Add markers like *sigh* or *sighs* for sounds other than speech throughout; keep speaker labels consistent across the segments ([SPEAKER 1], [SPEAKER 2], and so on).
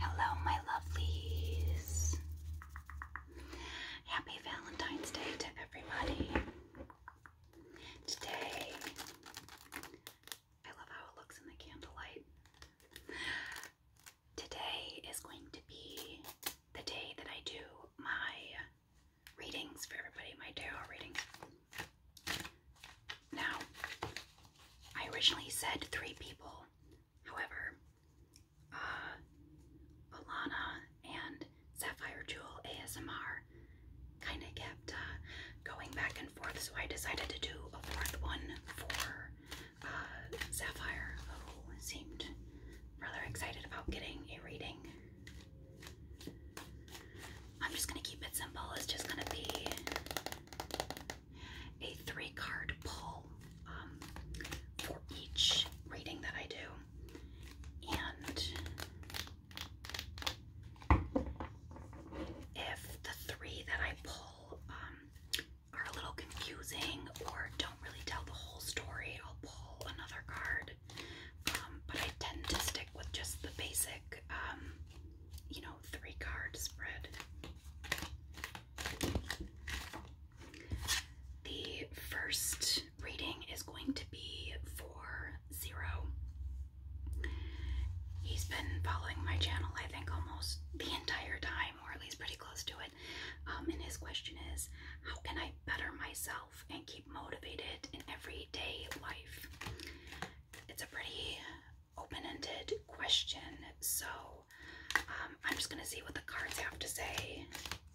[SPEAKER 1] Hello, my lovelies. Happy Valentine's Day to everybody. Today, I love how it looks in the candlelight. Today is going to be the day that I do my readings for everybody, my dear. readings. Now, I originally said three people, however, uh, Alana and Sapphire Jewel ASMR kind of kept uh, going back and forth, so I decided to do a fourth one for uh, Sapphire, who seemed rather excited about getting a reading I'm just going to keep it simple. It's just going to be a three card pull um, for each reading that I do. And if the three that I pull um, are a little confusing or don't really tell the whole story, I'll pull another card um, but I tend to stick with just the basic, um, you know, three card spread. The first reading is going to be for Zero. He's been following my channel, I think, almost the entire time, or at least pretty close to it. Um, and his question is how can I better myself and keep motivated in everyday life? it's a pretty open-ended question, so um, I'm just gonna see what the cards have to say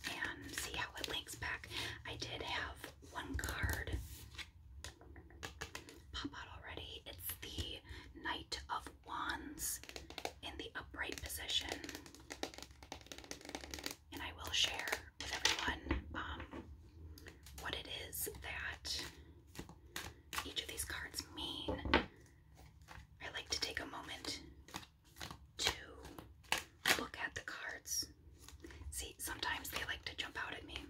[SPEAKER 1] and see how it links back. I did have one card pop out already. It's the Knight of Wands in the upright position, and I will share with everyone um, what it is that each of these cards mean. I like to take a moment to look at the cards. See, sometimes they like to jump out at me.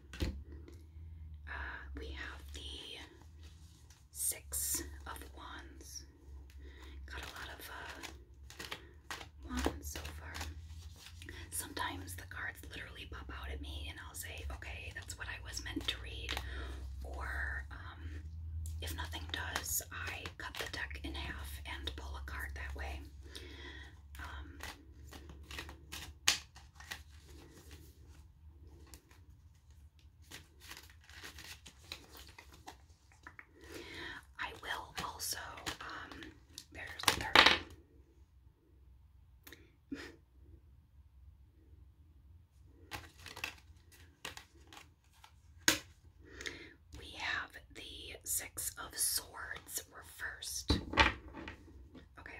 [SPEAKER 1] Uh, we have the Six of Wands. Got a lot of uh, wands so far sometimes the cards literally pop out at me and I'll say, okay, that's what I was meant to read. Or um, if nothing does, I cut the deck in half and pull a card that way. Um, I will also, um, there's, there, we have the Six of Swords reversed. Okay.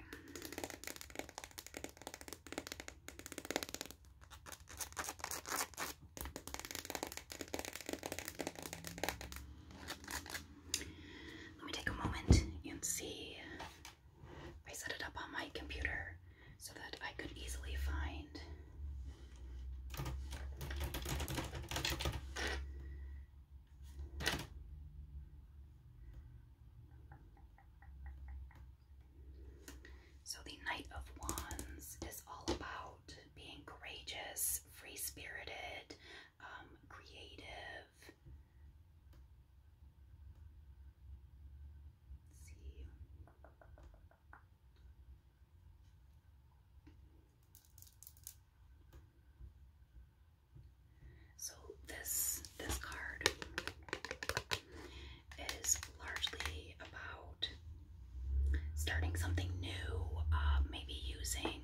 [SPEAKER 1] Let me take a moment and see. I set it up on my computer so that I could easily find so the Knight of Wands is all about being courageous, free-spirited, um, creative, Let's So this this card is largely about starting something new, uh, maybe using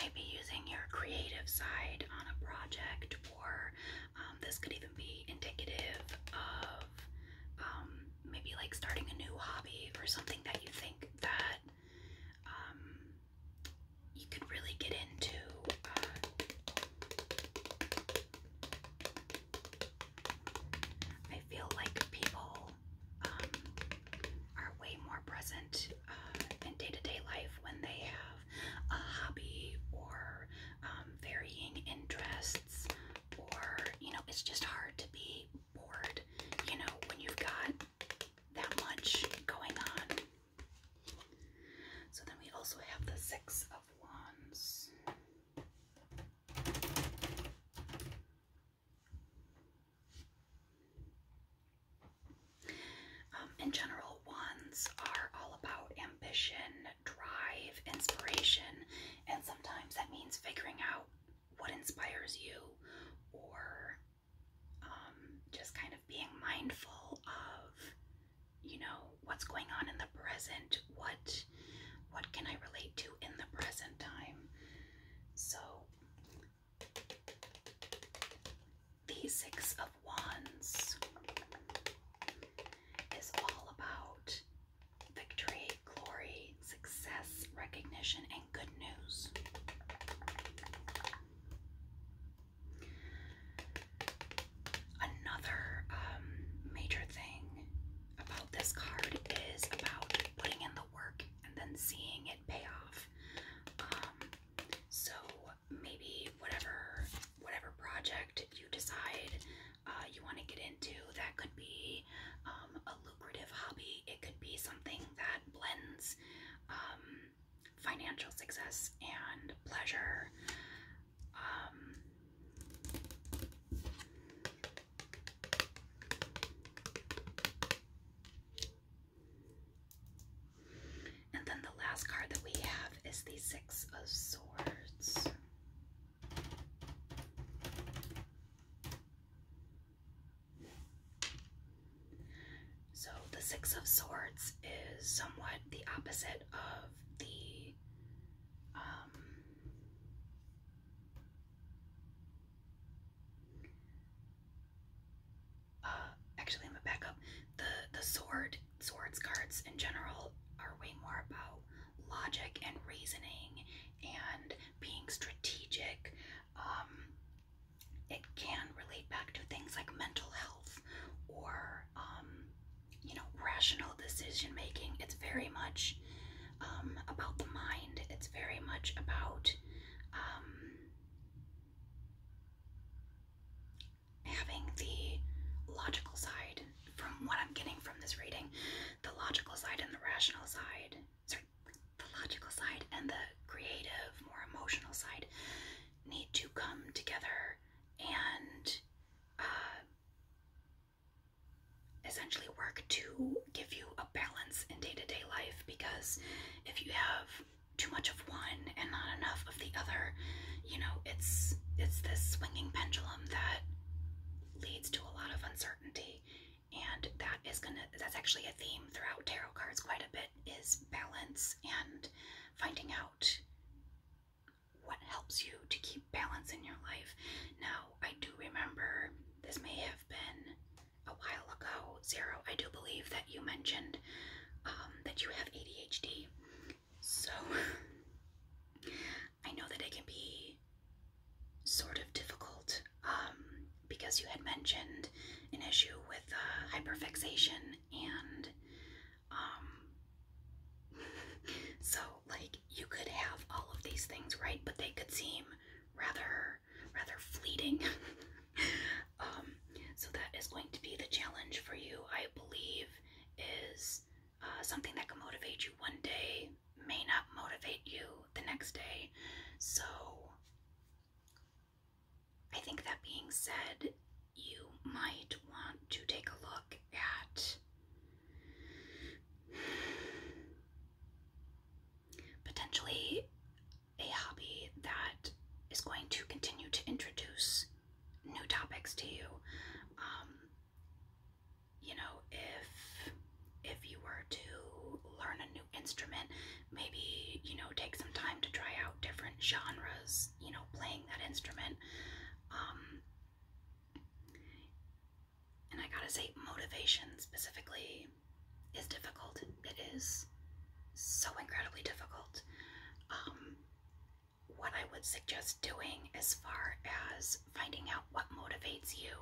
[SPEAKER 1] maybe using your creative side on a project, or um, this could even be indicative of um, maybe like starting a new hobby or something that you think that um, you could really get into. Uh, I feel like people um, are way more present uh, in day to day life when they have a hobby or um, varying interests, or you know, it's just hard to be bored, you know, when you've got that much going on. So then we also have the Six of Wands. Um, in general, wands are all about ambition, drive, inspiration, and sometimes that means figuring out what inspires you or um, just kind of being mindful of, you know, what's going on in the present, what what can I relate to in the present time. So the Six of Wands is all about victory, glory, success, recognition, and good news. Another um, major thing about this card is about putting in work and then seeing it pay off. Um, so maybe whatever whatever project you decide uh, you want to get into, that could be um, a lucrative hobby. It could be something that blends um, financial success and pleasure. And then the last card that we have is the Six of Swords. So the Six of Swords is somewhat the opposite of the um, uh, actually, I'm gonna back up. The the sword swords cards in general are way more about logic and reasoning and being strategic. Um, it can relate back to things like mental health or um, you know rational decision making. It's very much um, about the mind. It's very much about um, having the logical side from what I'm getting from this reading, the logical side and the rational side, sorry, the logical side and the creative, more emotional side need to come together and uh, essentially work to give you a balance in day to day life because if you have too much of one and not enough of the other, you know, it's it's this swinging pendulum that leads to a lot of uncertainty and that is gonna that's actually a theme throughout tarot cards quite a bit is balance and finding out what helps you to keep balance in your life now i do remember this may have been a while ago, Zero, I do believe that you mentioned um, that you have ADHD. So *laughs* I know that it can be sort of difficult um, because you had mentioned an issue with uh, hyperfixation and um, *laughs* so like you could have all of these things right but they could seem rather rather fleeting. *laughs* Um, so that is going to be the challenge for you, I believe, is uh, something that can motivate you one day may not motivate you the next day. So I think that being said, you might want to take a look at potentially a hobby that is going to continue to introduce new topics to you. Um, you know, if if you were to learn a new instrument, maybe you know take some time to try out different genres. You know, playing that instrument. Um, and I gotta say, motivation specifically University is difficult. It is so incredibly difficult. Um, what I would suggest doing as far as finding out what motivates you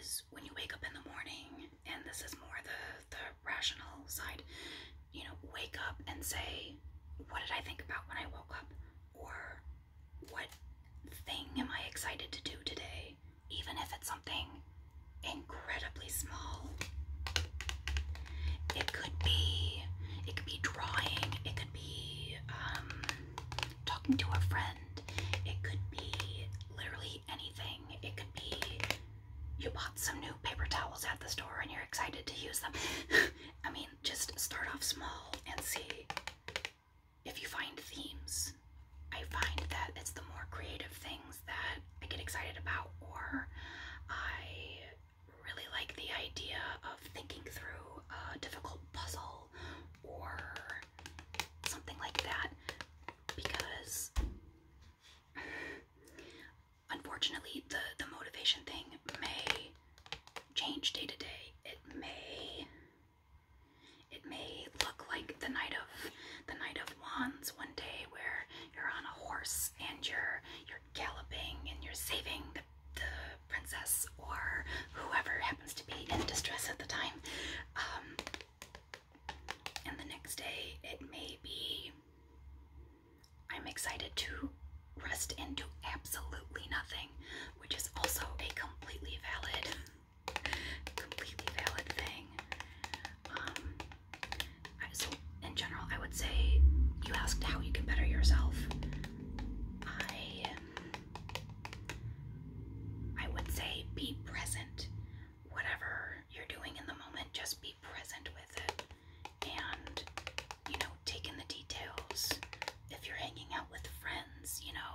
[SPEAKER 1] is when you wake up in the morning, and this is more the, the rational side, you know, wake up and say, What did I think about when I woke up? Or what thing am I excited to do today? even if it's something incredibly small. It could be, it could be drawing, it could be um, talking to a friend, it could be literally anything. It could be you bought some new paper towels at the store and you're excited to use them. *sighs* I mean, just start off small and see if you find themes I find that it's the more creative things that I get excited about, or I really like the idea of thinking through a difficult puzzle or something like that because unfortunately the, the motivation thing may change day to day. It may it may look like the night of the night of wands one day where you're on a horse and you're you're galloping and you're saving the, the princess or whoever happens to be in distress at the time. Um, and the next day, it may be I'm excited to rest into absolutely nothing, which is also a completely valid, *laughs* completely valid thing. Um, so in general, I would say you asked how you can better yourself. I I would say be present. Whatever you're doing in the moment, just be present with it. And you know, taking the details. If you're hanging out with friends, you know,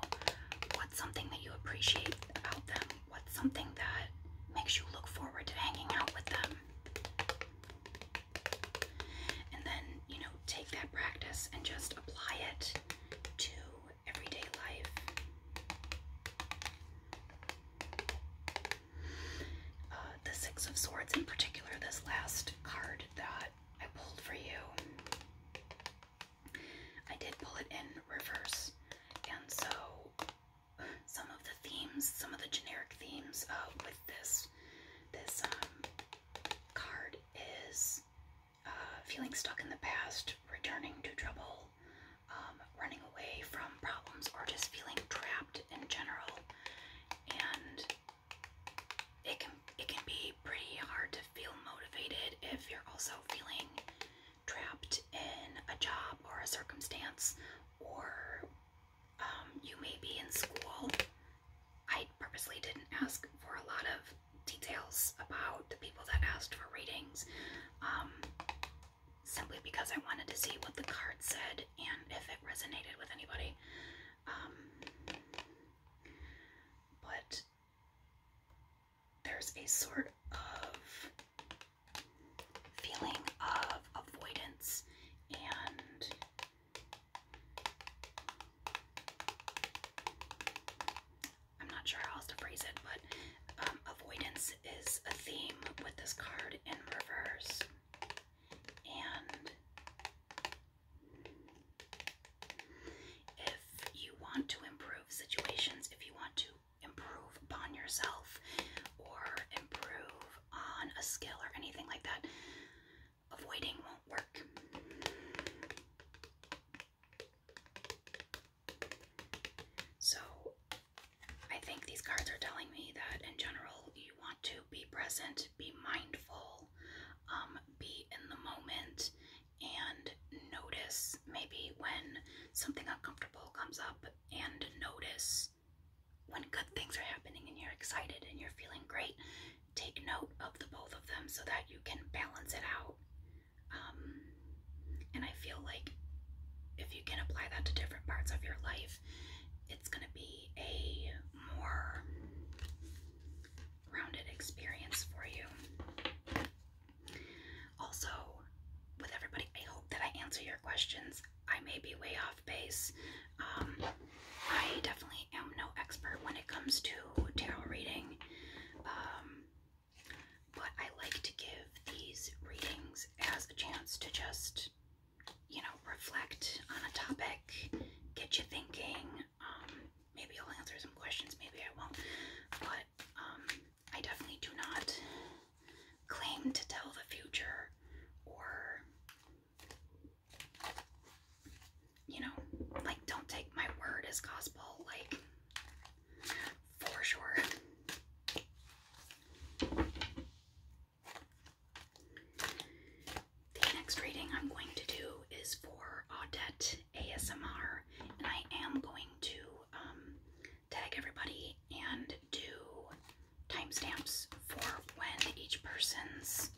[SPEAKER 1] what's something that you appreciate about them? What's something that makes you look forward to hanging out with them? And then, you know, take that practice and just apply it to everyday life. Uh, the Six of Swords, in particular, this last card that I pulled for you, I did pull it in reverse, and so some of the themes, some of the generic themes uh, with this this um, card is uh, feeling stuck in the past, returning to trouble, um, running away from problems, or just feeling trapped in general. And it can it can be pretty hard to feel motivated if you're also feeling trapped in a job or a circumstance, or um, you may be in school. I purposely didn't ask for a lot of details about the people that asked for readings, um, simply because I wanted to see what the card said and if it resonated with anybody. Um, but there's a sort of feeling of avoidance and I'm not sure how else to phrase it, but um, avoidance is a theme with this card in reverse. And if you want to improve situations, if you want to improve upon yourself or improve on a skill or anything like that, avoiding won't work. So, I think these cards are telling me that in general you want to be present, be mindful, um, be in the moment, and notice maybe when something uncomfortable comes up and notice when good things are happening and you're excited and you're feeling great, take note of the both of them so that you can balance it out. Um, and I feel like if you can apply that to different parts of your life, it's going to be a more rounded experience for you. Also, with everybody, I hope that I answer your questions. I may be way off base. Um, I definitely am no expert when it comes to tarot reading, um, but I like to give these readings as a chance to just, you know, reflect on a topic, get you thinking. Um, maybe I'll answer some questions, maybe I won't, but I definitely do not claim to tell the future or, you know, like, don't take my word as gospel, like, for sure. The next reading I'm going to do is for Audette ASMR, and I am going to um, tag everybody and do timestamps for when each person's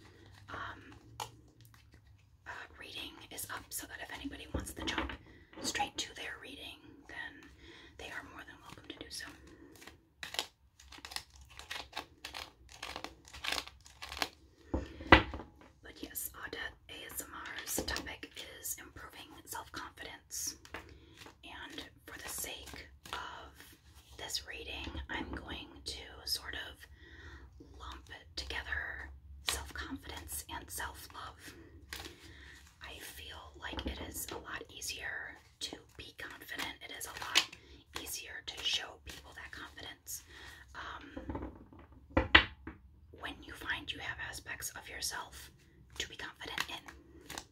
[SPEAKER 1] um, uh, reading is up so that if anybody wants to jump straight to their reading, then they are more than welcome to do so. But yes, Audit ASMR's topic is improving self confidence. And for the sake of this reading, I'm going to sort of lump together self confidence and self love. I feel like it is a lot easier to be confident, it is a lot easier to show people that confidence. Um, when you find you have aspects of yourself to be confident in.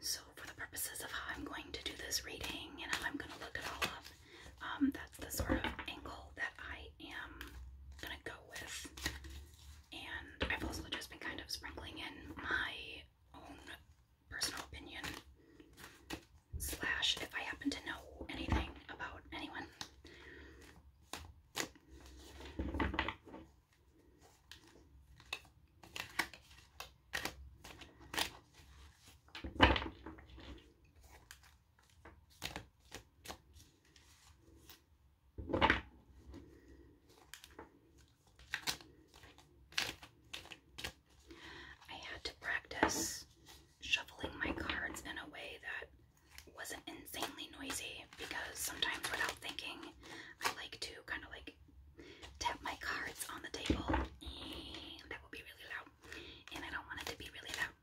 [SPEAKER 1] So for the purposes of how I'm going to do this reading and how I'm going to look it all up, um, that's the sort of angle that I am going to go with. And I've also just been kind of sprinkling in my own personal opinion slash if I happen to know anything about anyone. I had to practice shuffling my cards in a way that wasn't insanely noisy because sometimes without thinking, I like to kind of like tap my cards on the table, and that will be really loud, and I don't want it to be really loud.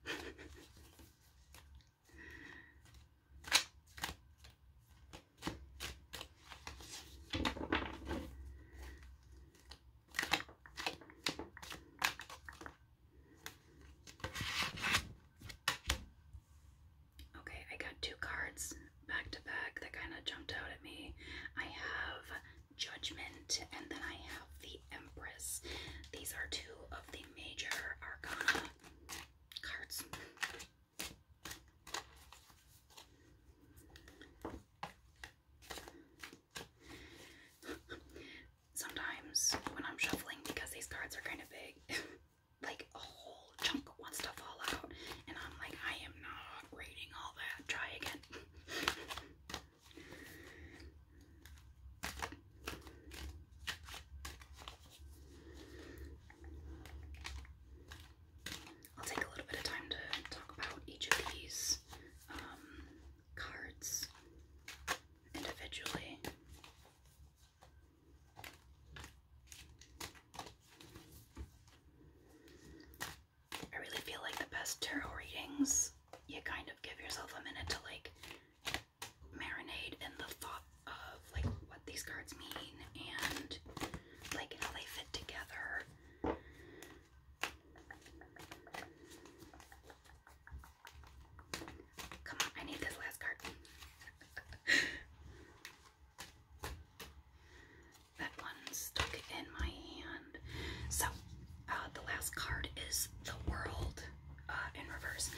[SPEAKER 1] Okay, I got two cards back to back that kind of jumped out at me. I have Judgment and then I have the Empress. These are two of the major arcana cards. Sometimes when I'm shuffling, because these cards are kind of big, *laughs* like a whole chunk wants to fall out, and I'm like, I am not reading all that. Try again. I'll take a little bit of time to talk about each of these um, cards individually. I really feel like the best tarot readings, you kind of give yourself a minute to like marinate in the thought of like what these cards mean and like how they fit together. Come on, I need this last card. *laughs* That one stuck in my hand. So, uh, the last card is the world uh, in reverse.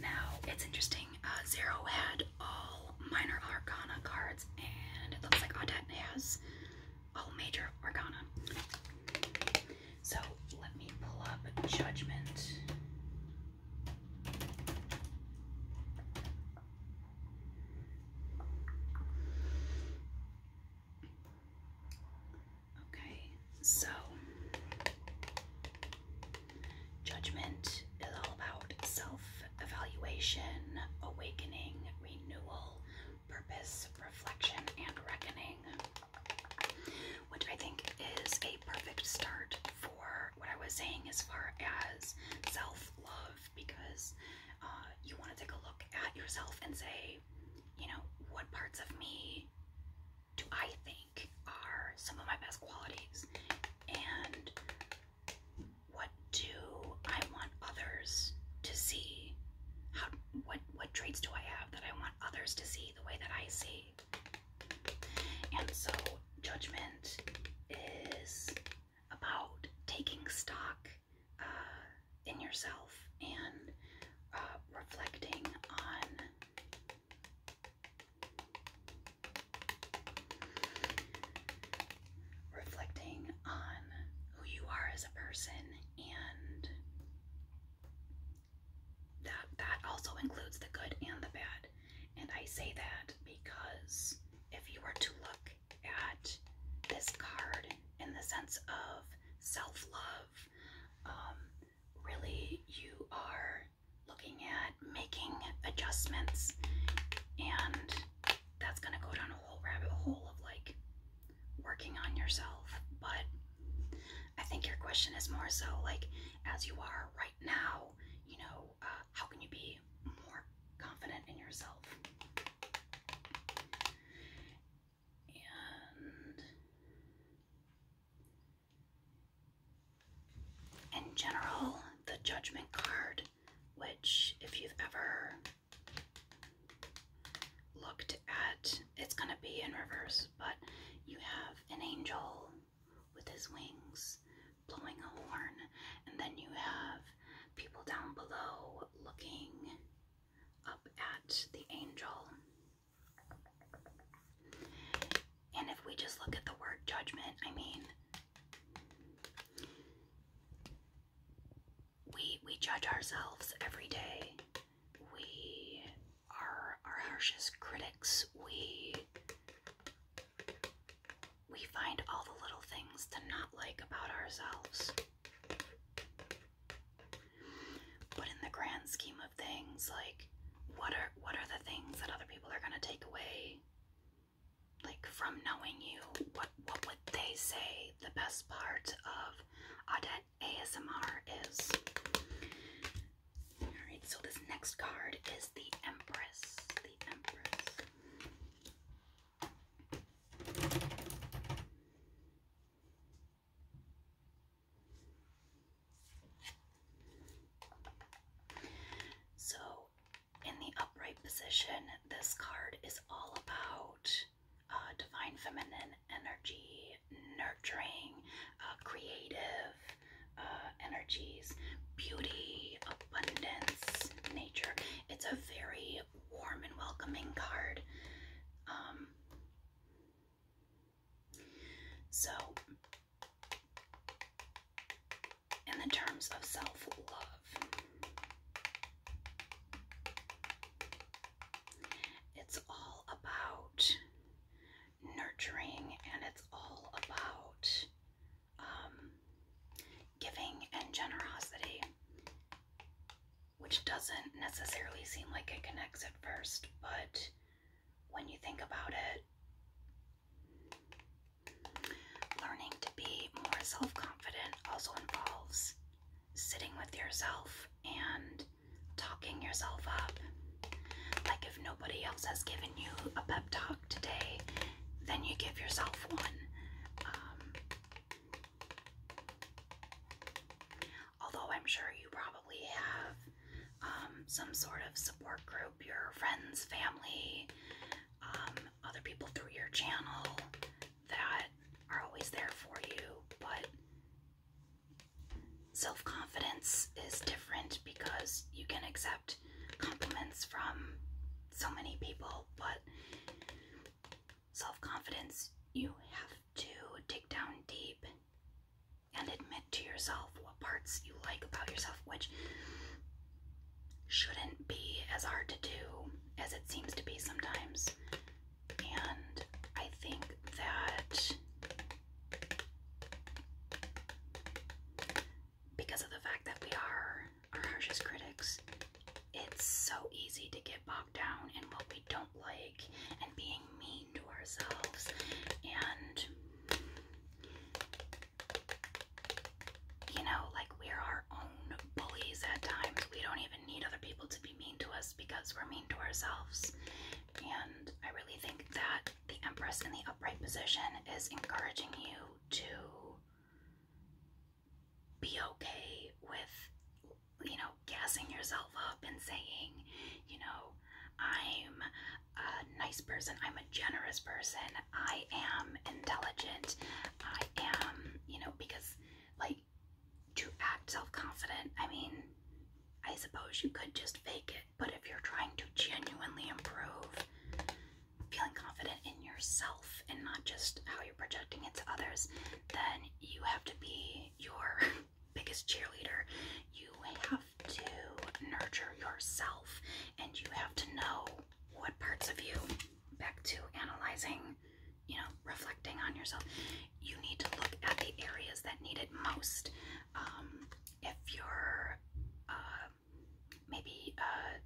[SPEAKER 1] Now, it's interesting. Uh, Zero had all minor arcana cards, and it looks like Audette has all major arcana. So, let me pull up Judgment. Okay, so judgment is all about self evaluation, awakening, renewal, purpose, reflection, and reckoning, which I think is a perfect start for what I was saying as far as self love because uh, you want to take a look at yourself and say, you know, what parts of me do I think are some of my best qualities? And what do I want others to see? How, what, what traits do I have that I want others to see the way that I see? And so judgment is about taking stock uh, in yourself and uh, reflecting on reflecting on who you are as a person and that that also includes the good and the bad and I say that because if you were to look at this card in the sense of self love, um, really you are looking at making adjustments, and that's going to go down a whole rabbit hole of like working on yourself. But I think your question is more so like, as you are right now, you know, how can you be more confident in yourself? And in general, the judgment card, which if you've ever looked at, it's going to be in reverse, but you have an angel with his wings blowing a horn, and then you have people down below looking up at the angel. And if we just look at the word judgment, I mean, we we judge ourselves every day. We are our harshest critics. We we find all the little things to not like about ourselves. But in the grand scheme of things, like what are what are the things that other people are gonna take away? Like from knowing you, what what would they say the best part of Audette ASMR is? Alright, so this next card is The Empress. So, in the upright position, this card is all about uh, divine feminine energy, nurturing, uh, creative uh, energies, beauty, abundance, nature. It's a very warm and welcoming card. Um, so, in the terms of self love, it's all about nurturing and it's all about um, giving and generosity, which doesn't necessarily seem like it connects at first, but when you think about it, learning to be more self confident also involves sitting with yourself and talking yourself up. Like if nobody else has given you a pep talk today, then you give yourself one. Um, although I'm sure you probably have um, some sort of support group, your friends, family, um, other people through your channel that are always there for you, but self confidence is different because you can accept compliments from so many people, but self confidence, you have to dig down deep and admit to yourself what parts you like about yourself, which shouldn't be as hard to do as it seems to be sometimes. And I think that because of the fact that we are our harshest critics. It's so easy to get bogged down in what we don't like and being mean to ourselves. And, you know, like we're our own bullies at times. We don't even need other people to be mean to us because we're mean to ourselves. And I really think that the Empress in the upright position is encouraging you to be okay with, you know, gassing yourself up and saying, you know, I'm a nice person, I'm a generous person, I am intelligent, I am, you know, because, like, to act self confident, I mean, I suppose you could just fake it, but if you're trying to genuinely improve, feeling confident in yourself and not just how you're projecting it to others, then you have to be your *laughs* biggest cheerleader. You have to nurture yourself and you have to know what parts of you, back to analyzing, you know, reflecting on yourself, you need to look at the areas that need it most. Um, if you're uh, maybe uh,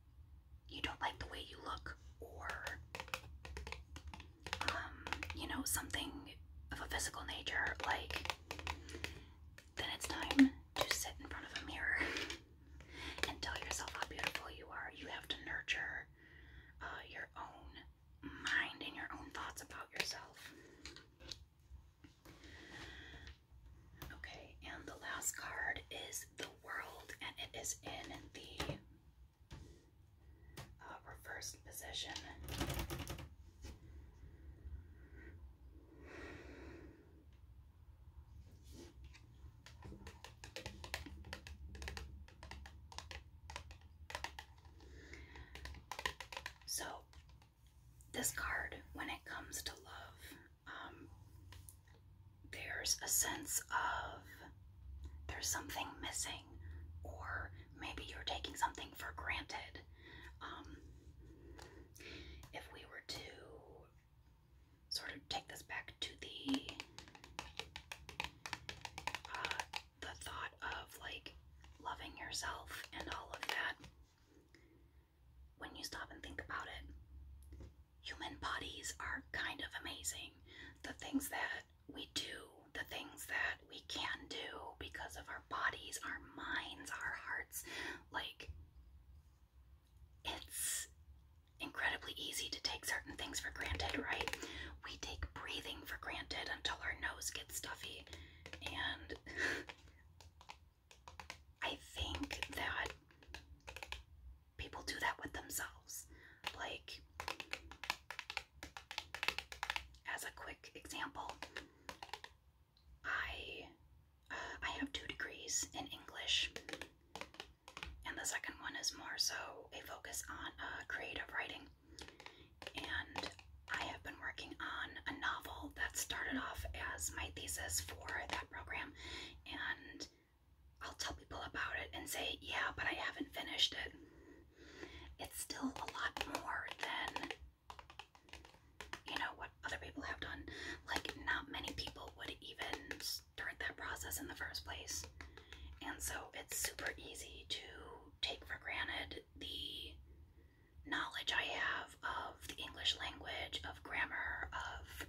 [SPEAKER 1] you don't like the way you look or um, you know, something of a physical nature, like then it's time to sit in front of a mirror *laughs* and tell yourself how beautiful you are. You have to nurture uh, your own mind and your own thoughts about yourself. Okay, and the last card is the world, and it is in the uh, position. So, this card, when it comes to love, um, there's a sense of there's something missing, or maybe you're taking something for granted. Um, if we were to sort of take this back to the uh, the thought of like loving yourself and all of that, when you stop and think about it, human bodies are kind of amazing. The things that we do, the things that we can do because of our bodies, our minds, our hearts, like it's incredibly easy to take certain things for granted, right? We take breathing for granted until our nose gets stuffy. And *laughs* I think that people do that with themselves. Like, as a quick example, I uh, I have two degrees in English, and the second one is more so a focus on uh, creative writing. And I have been working on a novel that started off as my thesis for that program, and I'll tell people about it and say, yeah, but I haven't finished it. It's still a lot more than, you know, what other people have done. Like, not many people would even start that process in the first place. And so it's super easy to take for granted the knowledge I have of the English language, of grammar, of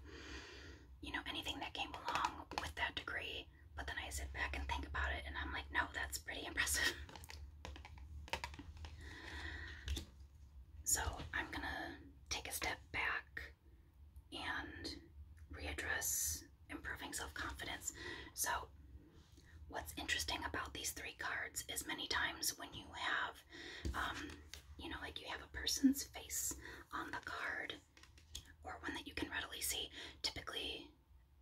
[SPEAKER 1] you know, anything that came along with that degree. But then I sit back and think about it, and I'm like, no, that's pretty impressive. *laughs* so I'm gonna take a step back and readdress improving self confidence. So, what's interesting about these three cards is many times when you have, um, you know, like you have a person's face on the card or one that you can readily see, typically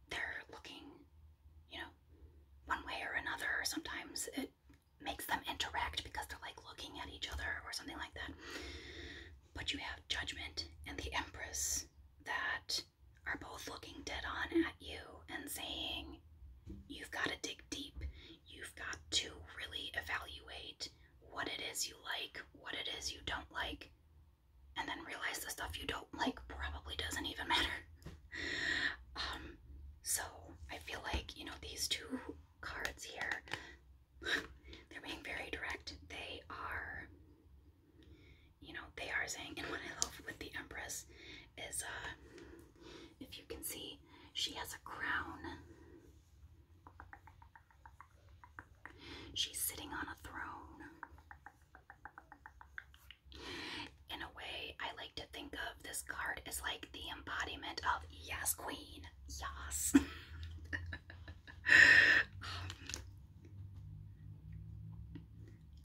[SPEAKER 1] they're looking, you know, one way or another. Sometimes it makes them interact because they're like looking at each other or something like that. But you have Judgment and the Empress that are both looking dead on at you and saying, You've got to dig deep. You've got to really evaluate what it is you like, what it is you don't like, and then realize the stuff you don't like probably doesn't even *laughs* matter. um, so I feel like, you know, these two cards here, *sighs* they're being very direct. They are, you know, they are saying, and what I love with the Empress is, uh, if you can see, she has a crown. She's sitting on a throne. In a way, I like to think of this card as like the embodiment of yes, queen, yes. *laughs* Um,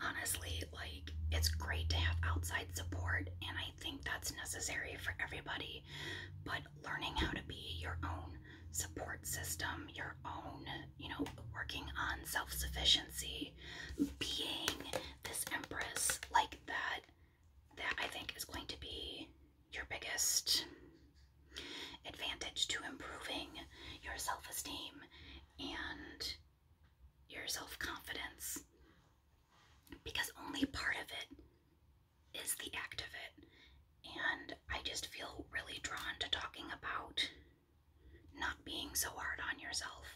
[SPEAKER 1] honestly, like it's great to have outside support, and I think that's necessary for everybody. But learning how to be your own support system, your own, you know, working on self sufficiency, being this empress like that, that I think is going to be your biggest advantage to improving your self esteem and your self confidence because only part of it is the act of it. And I just feel really drawn to talking about not being so hard on yourself.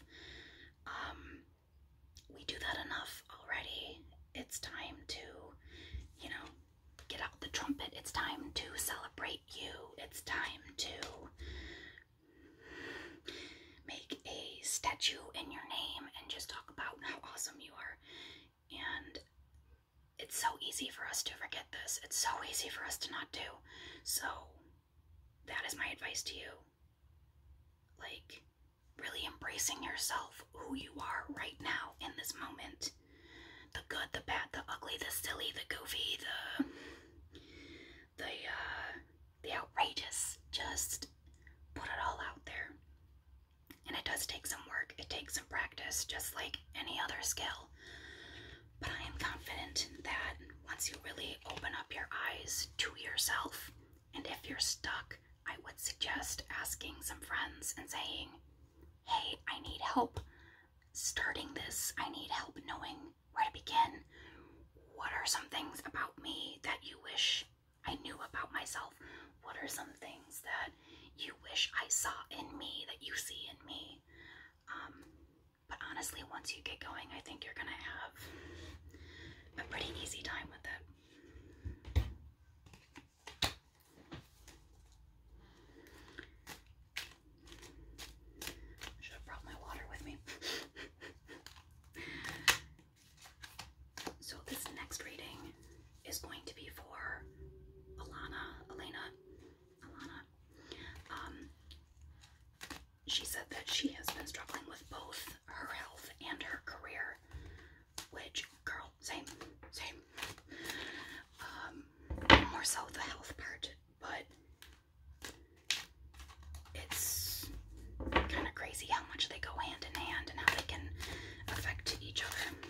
[SPEAKER 1] Um, we do that enough already. It's time to, you know, get out the trumpet. It's time to celebrate you. It's time to make a statue in your name and just talk about how awesome you are. And it's so easy for us to forget this. It's so easy for us to not do. So, that is my advice to you. Like, really embracing yourself, who you are right now in this moment. The good, the bad, the ugly, the silly, the goofy, the the uh, the outrageous. Just put it all out there. And it does take some work. It takes some practice, just like any other skill. But I am confident that once you really open up your eyes to yourself, and if you're stuck, I would suggest asking some friends and saying, Hey, I need help starting this. I need help knowing where to begin. What are some things about me that you wish I knew about myself? What are some things that you wish I saw in me, that you see in me. Um, but honestly, once you get going, I think you're gonna have a pretty easy time with it. should have brought my water with me. *laughs* so, this next reading is going to be for Alana, Elena, Alana. Um, she said that she has been struggling with both her health and her career, which, girl, same, same. Um, more so the health part, but it's kind of crazy how much they go hand in hand and how they can affect each other.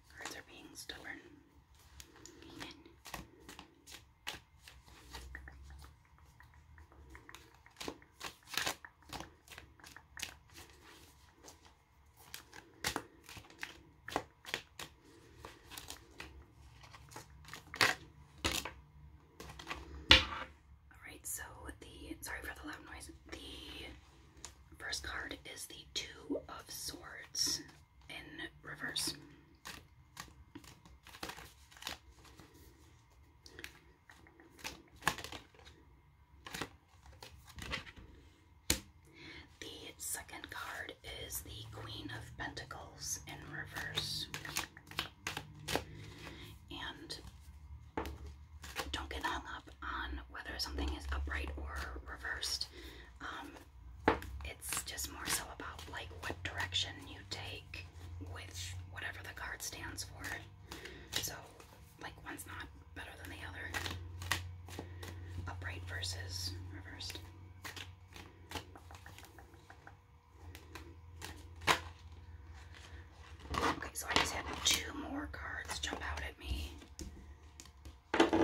[SPEAKER 1] Cards are being stubborn. All right, so the sorry for the loud noise. The First card is the Two of Swords in reverse. The second card is the Queen of Pentacles in reverse. And don't get hung up on whether something is upright or reversed. Um, it's just more so about like what direction you take with whatever the card stands for. So, like one's not better than the other. Upright versus reversed. Okay, so I just had two more cards jump out at me. Okay.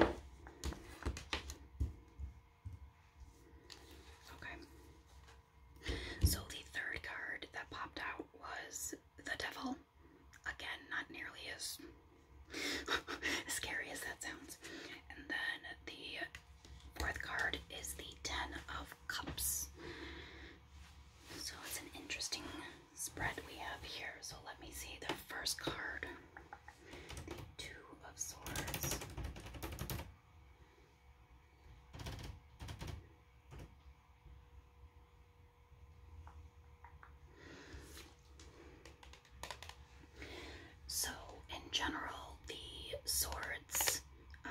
[SPEAKER 1] So the third card that popped out was the devil. Again, not nearly as *laughs* scary as that sounds. And then the fourth card is the Ten of Cups. So it's an interesting spread we have here. So let me see the first card. The Two of Swords. So, in general, the swords uh,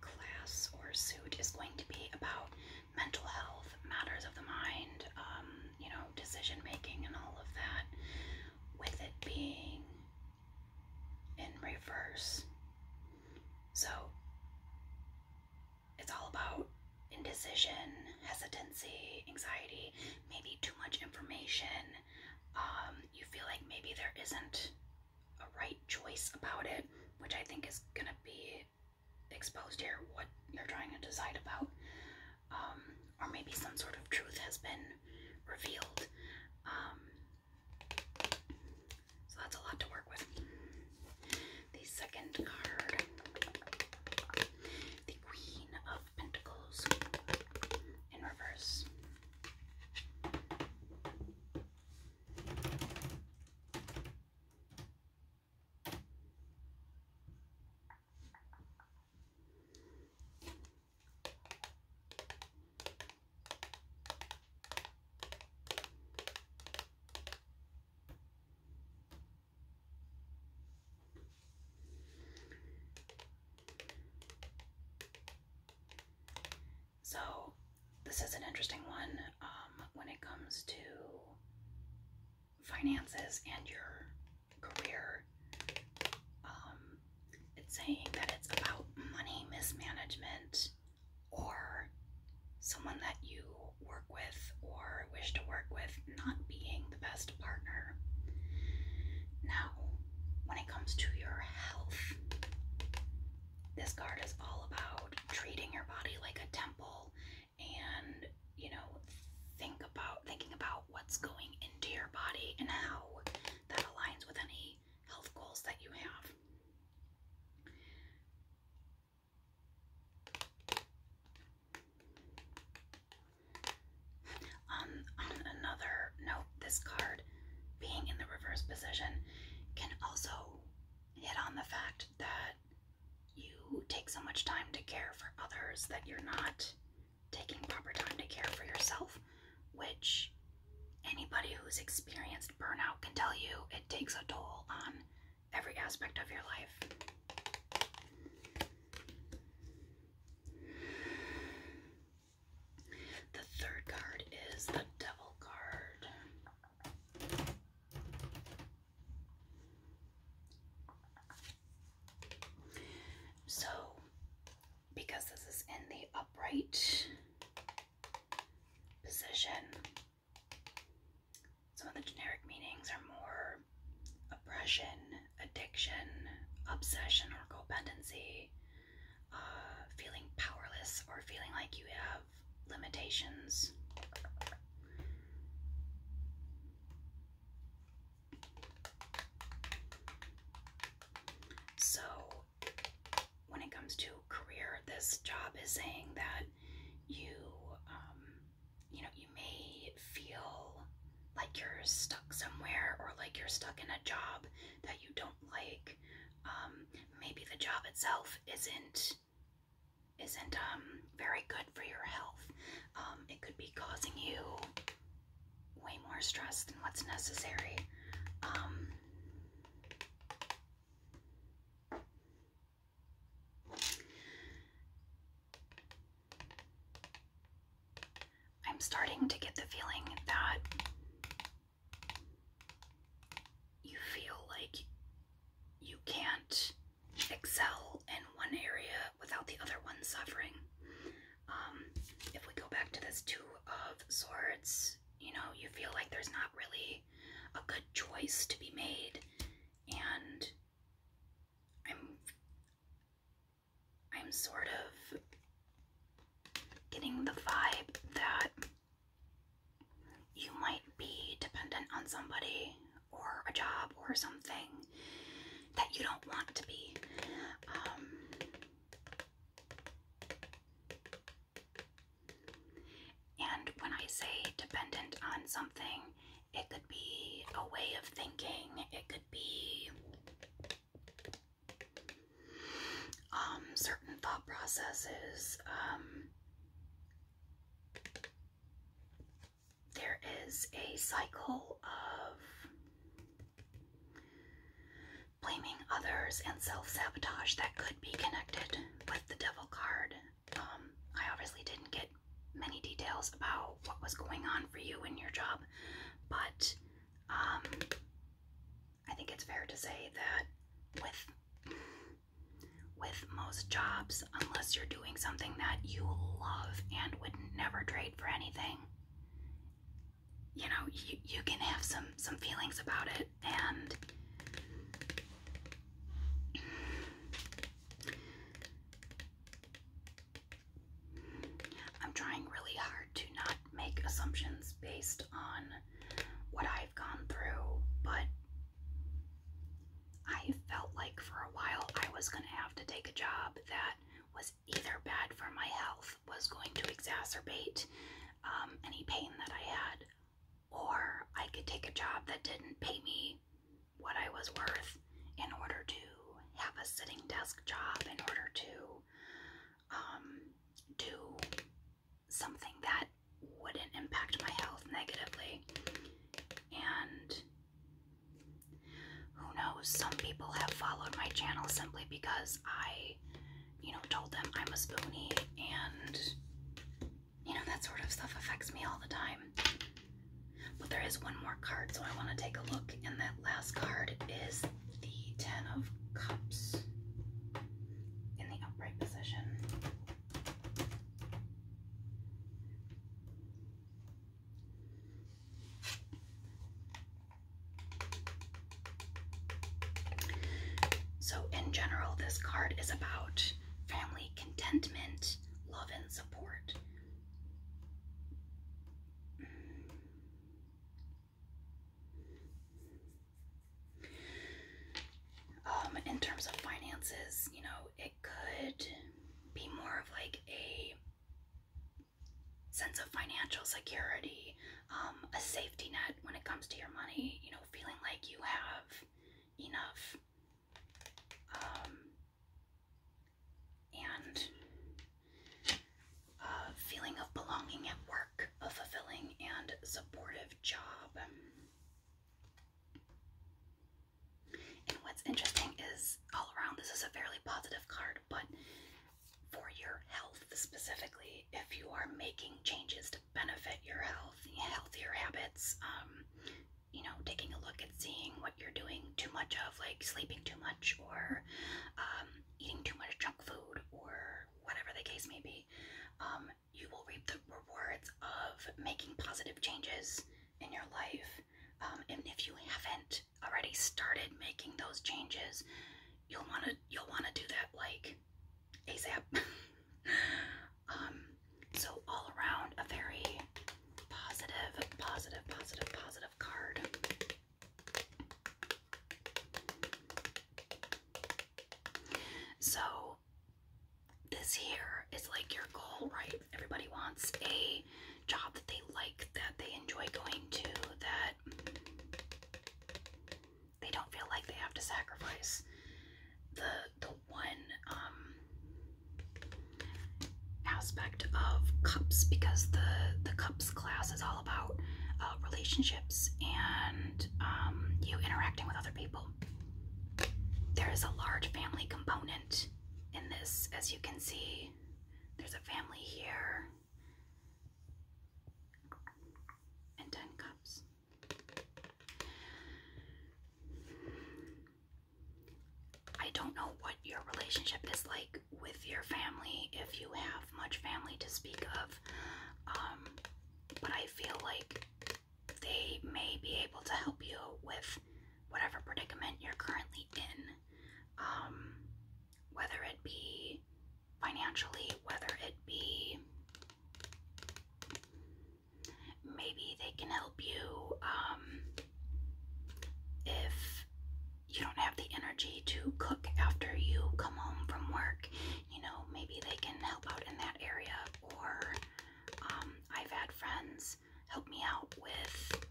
[SPEAKER 1] class or suit is going to be about mental health, matters of the mind, um, you know, decision making, and all of that, with it being in reverse. So it's all about indecision, hesitancy, anxiety, maybe too much information. Um, you feel like maybe there isn't a right choice about it, which I think is going to be exposed here, what you're trying to decide about. Um, or maybe some sort of truth has been revealed. Um, so that's a lot to work with. The second card, the Queen of Pentacles in reverse. So, this is an interesting one um, when it comes to finances and your career. Um, it's saying that it's about money mismanagement or someone that you work with or wish to work with not being the best partner. Now, when it comes to your health, this card is all about treating your body like a temple and you know think about thinking about what's going into your body and how that aligns with any health goals that you have. On, um, on another note, this card being in the reverse position can also hit on the fact that you take so much time to care for others that you're not taking proper time to care for yourself, which anybody who's experienced burnout can tell you it takes a toll on every aspect of your life. The third card is the Devil card. So, because this is in the upright position, some of the generic meanings are more oppression, addiction, obsession or co-dependency, uh, feeling powerless or feeling like you have limitations. So, when it comes to career, this job is saying that you, um, you know, you may feel like you're stuck somewhere or like you're stuck in a job that you don't like. Um, maybe the job itself isn't isn't um, very good for your health. Um, it could be causing you way more stress than what's necessary. Um, I'm starting to get the feeling that you feel like you can't excel in one area without the other one suffering. Um, if we go back to this Two of Swords, you know, you feel like there's not really a good choice to be made, and I'm, I'm sort of getting the vibe that you might be dependent on somebody or a job or something that you don't want to be. Um, and when I say dependent on something, it could be a way of thinking, it could be um, certain thought processes. Um, there is a cycle of blaming others and self-sabotage that could be connected with the devil card. Um, I obviously didn't get many details about what was going on for you in your job, but um, I think it's fair to say that with with most jobs unless you're doing something that you love and would never trade for anything. You know, you can have some some feelings about it and I'm trying really hard to not make assumptions based on what I've gone through, but I felt like for a while I was going to have to take a job that was either bad for my health, was going to exacerbate um, any pain that I had, or I could take a job that didn't pay me what I was worth in order to have a sitting desk job, in order to um, do something that wouldn't impact my health negatively. And who knows? Some people have followed my channel simply because I, you know, told them I'm a spoonie and, you know, that sort of stuff affects me all the time. But there is one more card, so I want to take a look. And that last card is the Ten of Cups in the upright position. So, in general, this card is about family contentment, love, and support. Um, in terms of finances, you know, it could be more of like a sense of financial security, um, a safety net when it comes to your money, you know, feeling like you have enough. Um, and a uh, feeling of belonging at work, a fulfilling and supportive job. And what's interesting is all around this is a fairly positive card, but for your health specifically, if you are making changes to benefit your health, healthier habits, um, you know, taking a look at seeing what you're doing too much of, like sleeping too much or um, eating too much junk food or whatever the case may be, um, you will reap the rewards of making positive changes in your life um, and if you haven't already started making those changes, you'll wanna you'll wanna do that like ASAP. *laughs* um, so all around a very positive, positive, positive, positive card. So this here is like your goal, right? everybody wants a job that they like, that they enjoy going to, that they don't feel like they have to sacrifice. The the one um, aspect of cups because the the cups class is all about uh, relationships and um, you interacting with other people. There is a large family component in this, as you can see. There's a family here. And 10 cups. I don't know what your relationship is like with your family, if you have much family to speak of, um, but I feel like they may be able to help you with whatever predicament you're currently in, um, whether it be financially, whether it be maybe they can help you um, if you don't have the energy to cook after you come home from work. You know, maybe they can help out in that area, or um, I've had friends help me out with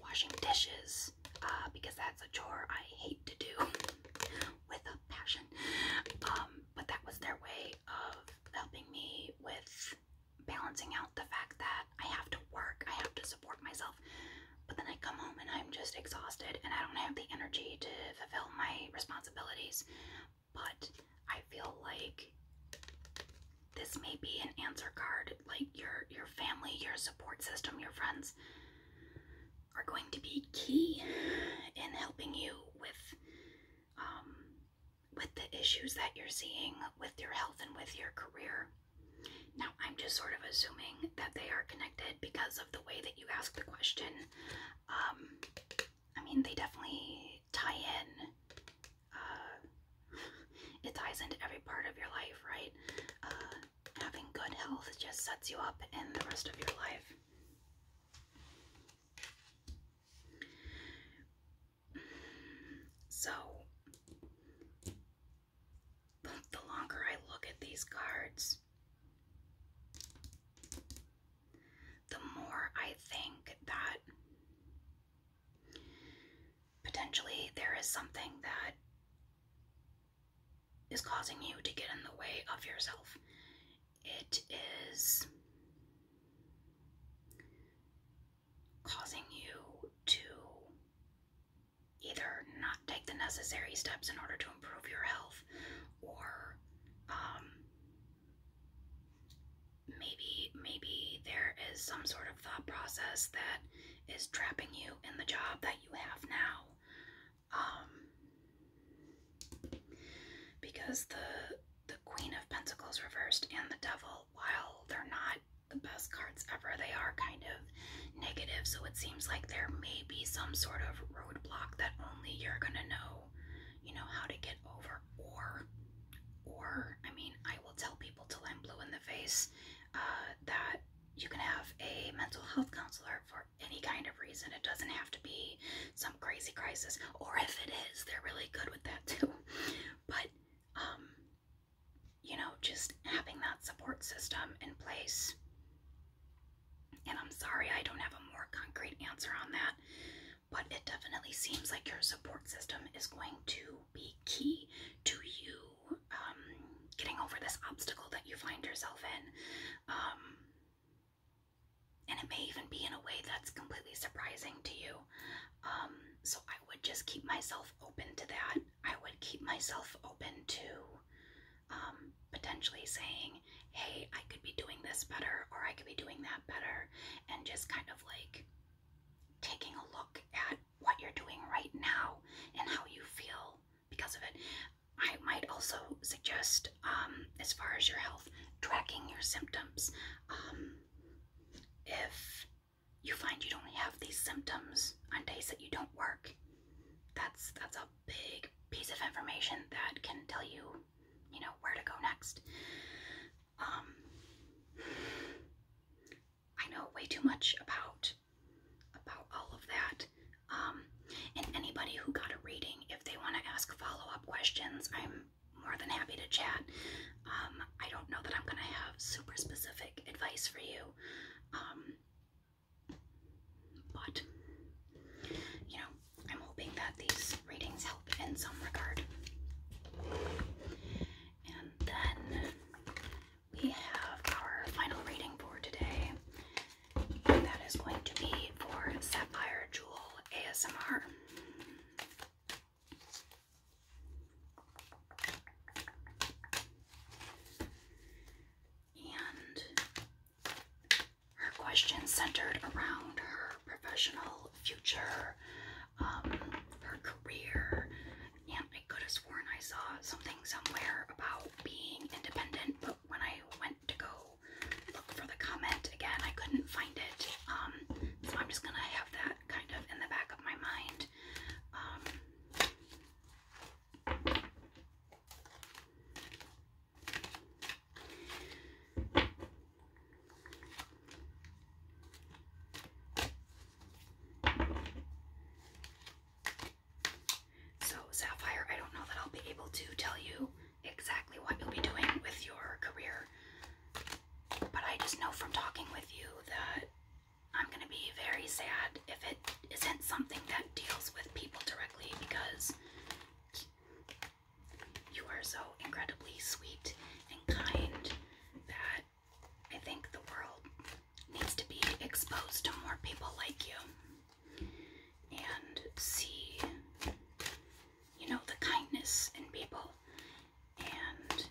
[SPEAKER 1] washing dishes uh, because that's a chore I hate to do *laughs* with a passion. Um, but that was their way of helping me with balancing out the fact that I have to work, I have to support myself, but then I come home and I'm just exhausted and I don't have the energy to fulfill my responsibilities. But I feel like this may be an answer card like your your family your support system your friends are going to be key in helping you with um, with the issues that you're seeing with your health and with your career now i'm just sort of assuming that they are connected because of the way that you ask the question um, i mean they definitely tie in uh, it ties into every part of your life, right? Uh, having good health just sets you up in the rest of your life. So, the longer I look at these cards, the more I think that potentially there is something that is causing you to get in the way of yourself. It is causing you to either not take the necessary steps in order to improve your health or um, maybe maybe there is some sort of thought process that is trapping you in the job that you have now. Um, because the the Queen of Pentacles reversed and the Devil, while they're not the best cards ever, they are kind of negative. So it seems like there may be some sort of roadblock that only you're gonna know, you know, how to get over. Or, or I mean, I will tell people till I'm blue in the face uh, that you can have a mental health counselor for any kind of reason. It doesn't have to be some crazy crisis, or if it is, they're really good with that *laughs* too. But, um, you know, just having that support system in place. And I'm sorry I don't have a more concrete answer on that, but it definitely seems like your support system is going to be key to you um, getting over this obstacle that you find yourself in. Um, and it may even be in a way that's completely surprising to you. Um, so I would just keep myself open to that. I would keep myself open to potentially saying, hey, I could be doing this better or I could be doing that better. And just kind of like taking a look at what you're doing right now and how you feel because of it. I might also suggest, um, as far as your health, tracking your symptoms. Um, if you find you don't have these symptoms on days that you don't work, that's that's a big piece of information that can tell you, you know, where to go next. Um, I know way too much about about all of that. Um, and anybody who got a reading, if they want to ask follow-up questions, I'm more than happy to chat. Um, I don't know that I'm going to have super specific advice for you. Um, but, you know, I'm hoping that these readings help in some regard. And then we have our final reading for today. And that is going to be for Sapphire Jewel ASMR. And her questions centered around her professional future, um, her career, and I could have sworn I saw something somewhere about being independent, but when I went to go look for the comment again, I couldn't find it. Um, so I'm just gonna have that kind of in the back of my mind. Um, so, Sapphire, I don't know that I'll be able to tell you exactly what you'll be doing with your career, but I just know from talking with you that I'm going to be very sad if it isn't something that deals with people directly because you are so incredibly sweet and kind that I think the world needs to be exposed to more people like you and see, you know, the kindness in people. And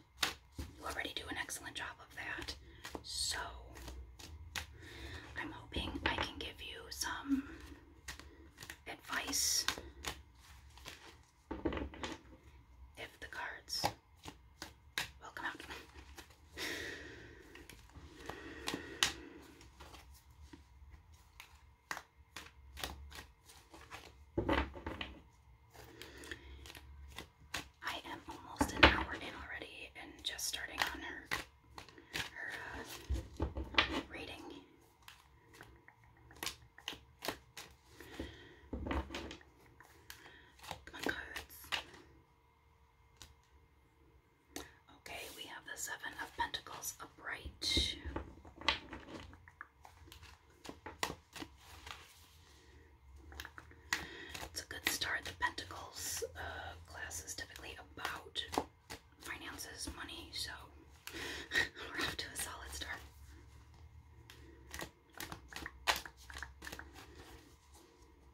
[SPEAKER 1] you already do an excellent job of that. So I'm hoping I can give you some advice if the cards will come I am almost an hour in already and just starting on her her uh, reading. Come cards. Okay, we have the Seven of Pentacles upright. It's a good start. The Pentacles uh, class is typically about finances, money, so *laughs* we're off to a solid start. *laughs*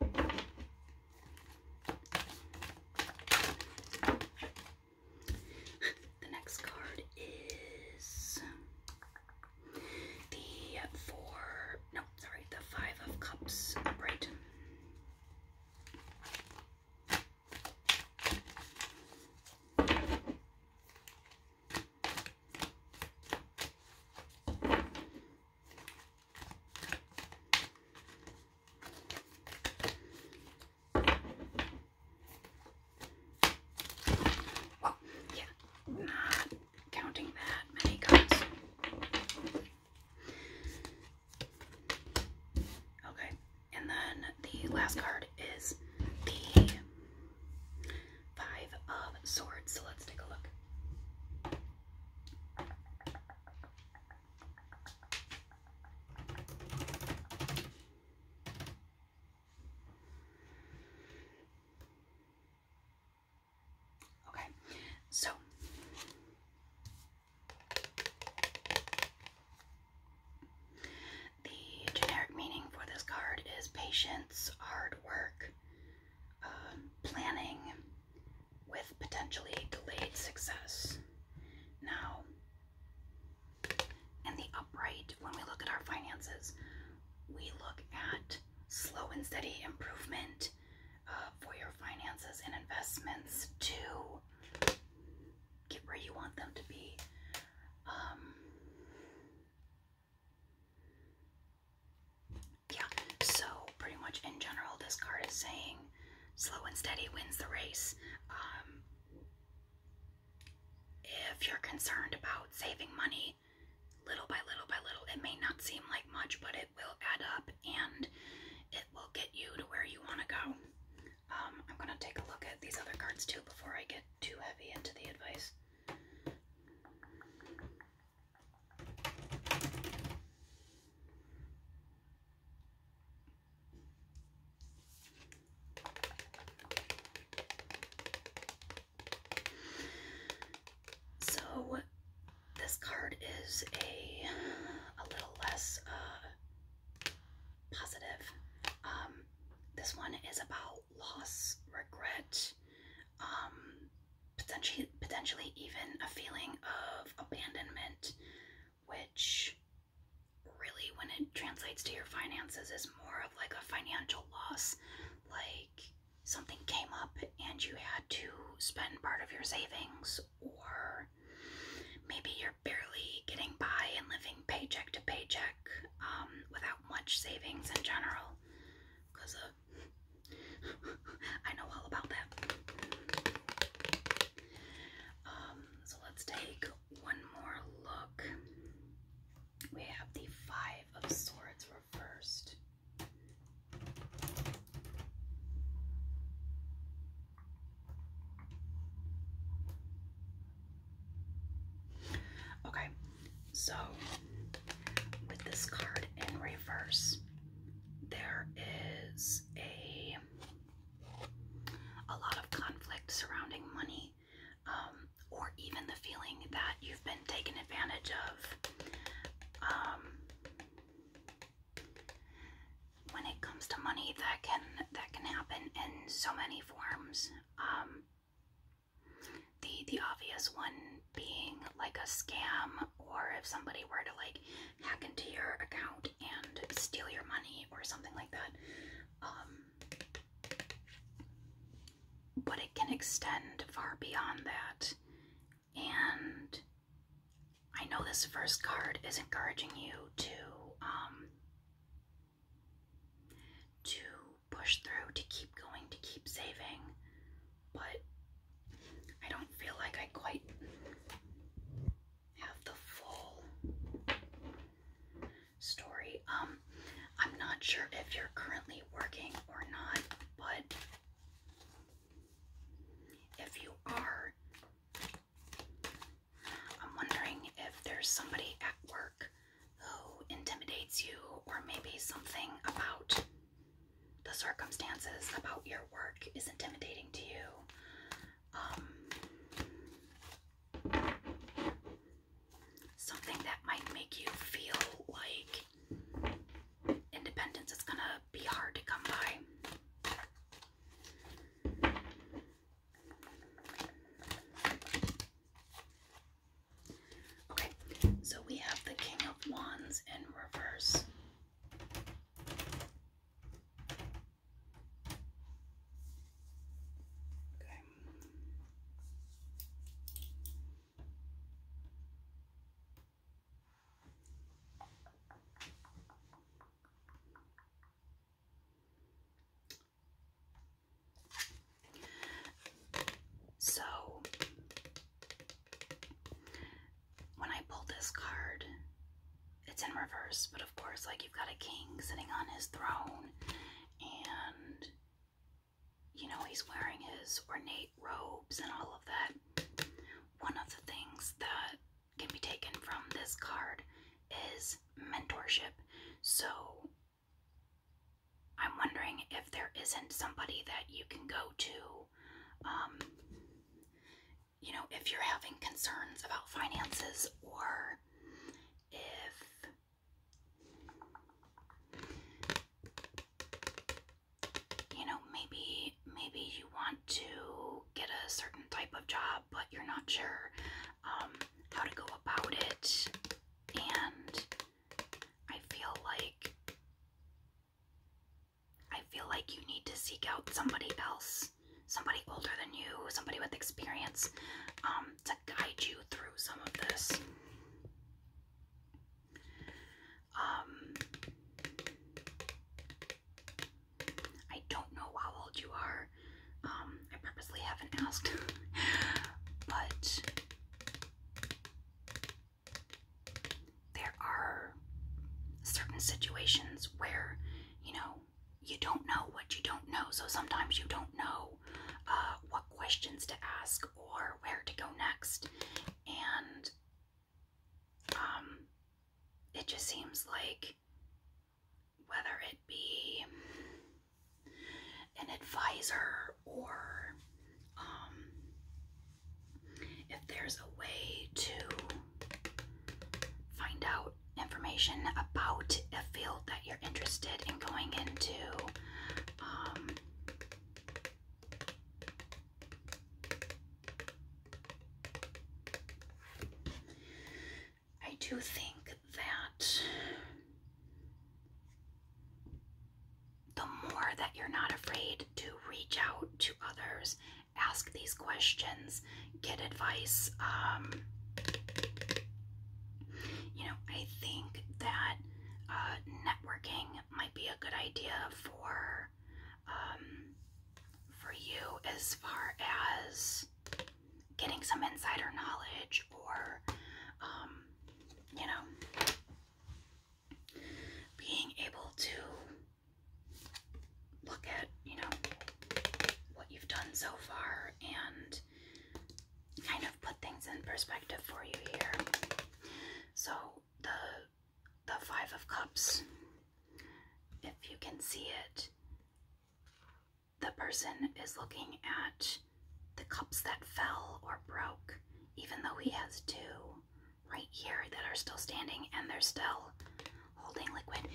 [SPEAKER 1] the next card is the four, no, sorry, the five of cups, uh, right? Well, yeah, not counting that many cards. Okay, and then the last card is the Five of Swords. So let's take a look. Okay, so the generic meaning for this card is patience, hard work, um, planning with potentially delayed success. Now, in the upright, when we look at our finances, we look at slow and steady improvement uh, for your finances and investments to get where you want them to be. Um, yeah, so pretty much in general, this card is saying slow and steady wins the race. Um, if you're concerned about saving money, little by little by little, it may not seem like much, but it will add up and it will get you to where you want to go. Um, I'm going to take a look at these other cards too before I get too heavy into the advice. So this card is a a little less uh, positive. Um, this one is about loss, regret, um, potentially, potentially even a feeling of abandonment, which really, when it translates to your finances, is more of like a financial loss. Like something came up and you had to spend part of your savings, or maybe your barely getting by and living paycheck to paycheck um, without much savings in general. Because uh, *laughs* I know all about that. Um, so let's take one more look. We have the Five of Swords reversed. Okay, so with this card in reverse, there is a a lot of conflict surrounding money, um, or even the feeling that you've been taken advantage of. Um, when it comes to money, that can that can happen in so many forms. Um, the the obvious one being like a scam, or if somebody were to like hack into your account and steal your money or something like that. Um, but it can extend far beyond that. And I know this first card is encouraging you to um, to push through, to keep going, to keep saving, but I don't feel like I quite have the full story. Um, I'm not sure if you're currently working or not, but if you are, I'm wondering if there's somebody at work who intimidates you, or maybe something about the circumstances about your work is intimidating to you. Um, something that might make you feel like independence is gonna be hard to come by. Okay, so we have the King of Wands in reverse. Okay. So when I pull this card, it's in reverse, but of course, like you've got a king sitting on his throne, and you know, he's wearing his ornate robes and all of that. One of the things that can be taken from this card is mentorship. So I'm wondering if there isn't somebody that you can go to. Um, you know, if you're having concerns about finances or if, you know, maybe, maybe you want to get a certain type of job, but you're not sure um, how to go about it, and I feel like I feel like you need to seek out somebody else, somebody older than you, somebody with experience, um, to guide you through some of this. Um, I don't know how old you are there. Um, I purposely haven't *laughs* asked, but there are certain situations where you know you don't know what you don't know, so sometimes you don't know uh, what questions to ask or where to go next, and um, it just seems like whether it be an advisor or um, if there's a way to find out information about a field that you're interested in going into. Um, I do think that the more that you're not afraid to reach out to others, ask these questions, get advice, um, you know, I think that uh, networking might be a good idea for um, for you as far as getting some insider knowledge or, um, you know, being able to look at, you know, what you've done so far and kind of put things in perspective for you here. So the the five of cups, if you can see it, the person is looking at the cups that fell or broke, even though he has two right here that are still standing and they're still holding liquid.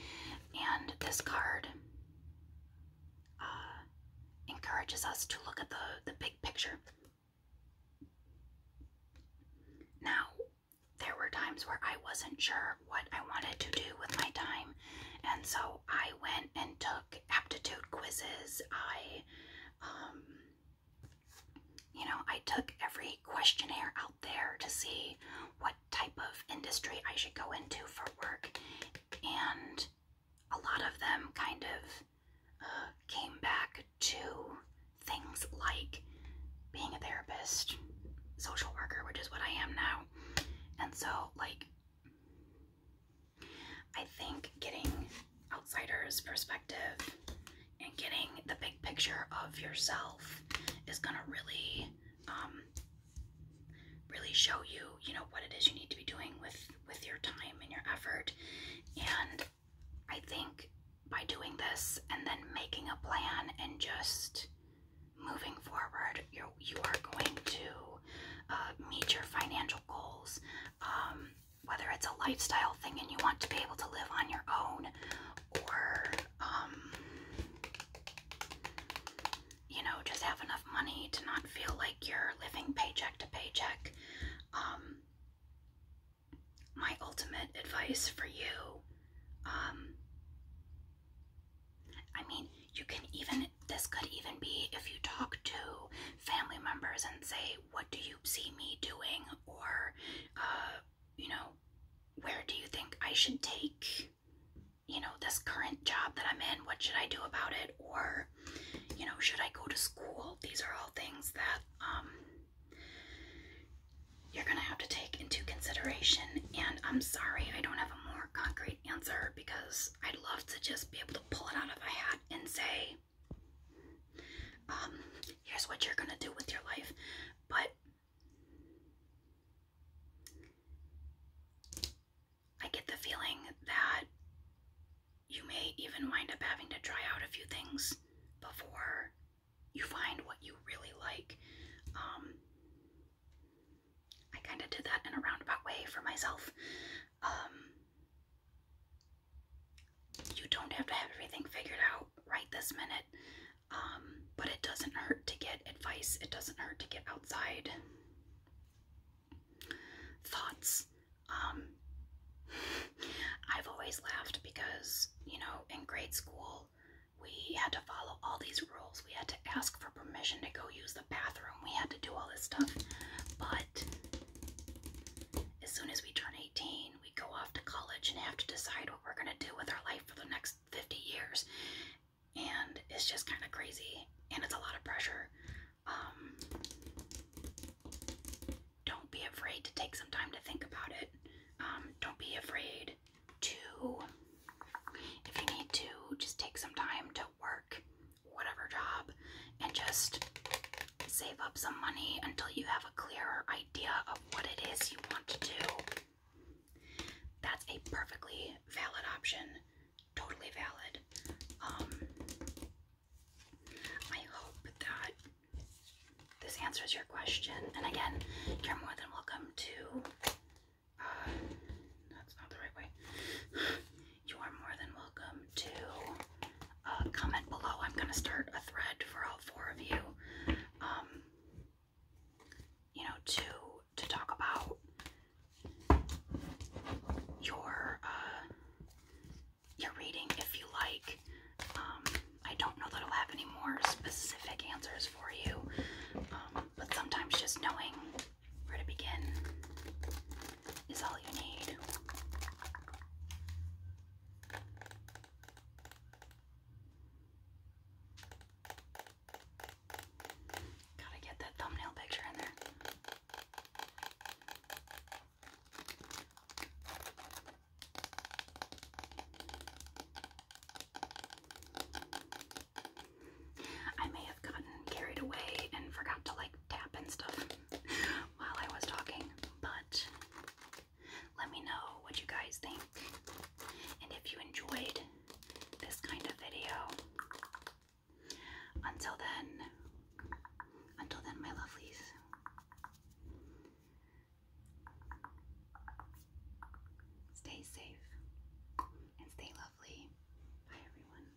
[SPEAKER 1] And this card uh, encourages us to look at the, the big picture. Now, there were times where I wasn't sure what I wanted to do with my time, and so I went and took aptitude quizzes. I, um, you know, I took every questionnaire out there to see what type of industry I should go into for work, and a lot of them kind of uh, came back to things like being a therapist, social worker, which is what I am now. And so, like, I think getting outsiders' perspective and getting the big picture of yourself is gonna really, um, really show you, you know, what it is you need to be doing with with your time and your effort. And I think by doing this and then making a plan and just moving forward, you're you are going to uh, meet your financial goals, um, whether it's a lifestyle thing and you want to be able to live on your own, or um, you know, just have enough money to not feel like you're living paycheck to paycheck. Um, my ultimate advice for you, I mean, you can even this could even be if you talk to family members and say, What do you see me doing? or, uh, you know, where do you think I should take, you know, this current job that I'm in? What should I do about it? Or, you know, should I go to school? These are all things that um, you're going to have to take into consideration. And I'm sorry I don't have a more concrete answer because I'd love to just be able to pull it out of a hat and say, um, here's what you're gonna do with your life. But I get the feeling that you may even wind up having to try out a few things before you find what you really like. Um, I kind of did that in a roundabout way for myself. Um, you don't have to have everything figured out right this minute, um, but it doesn't hurt to get advice, it doesn't hurt to get outside thoughts. Um, *laughs* I've always laughed because, you know, in grade school, we had to follow all these rules. We had to ask for permission to go use the bathroom. We had to do all this stuff. But but as soon as we turn 18, we go off to college and have to decide what we're going to do with our life for the next 50 years. And it's just kind of crazy. And it's a lot of pressure. Um, don't be afraid to take some time to think about it. Um, don't be afraid to, if you need to, just take some time to work whatever job and just save up some money until you have a clearer idea of what it is you want to do. That's a perfectly valid option. Totally valid. Um, I hope that this answers your question. And again, you're more than welcome to. Uh, that's not the right way you are more than welcome to uh, comment below. I'm going to start a thread for all four of you, um, you know, to to talk about your uh, your reading if you like. Um, I don't know that I'll have any more specific answers for you, um, but sometimes just knowing where to begin is all you need. Gotta get that thumbnail picture in there. I may have gotten carried away and forgot to like tap and stuff *laughs* while I was talking, but let me know what you guys think. And if you enjoyed this kind of video, until then, until then, my lovelies. Stay safe
[SPEAKER 2] and stay lovely. Bye, everyone.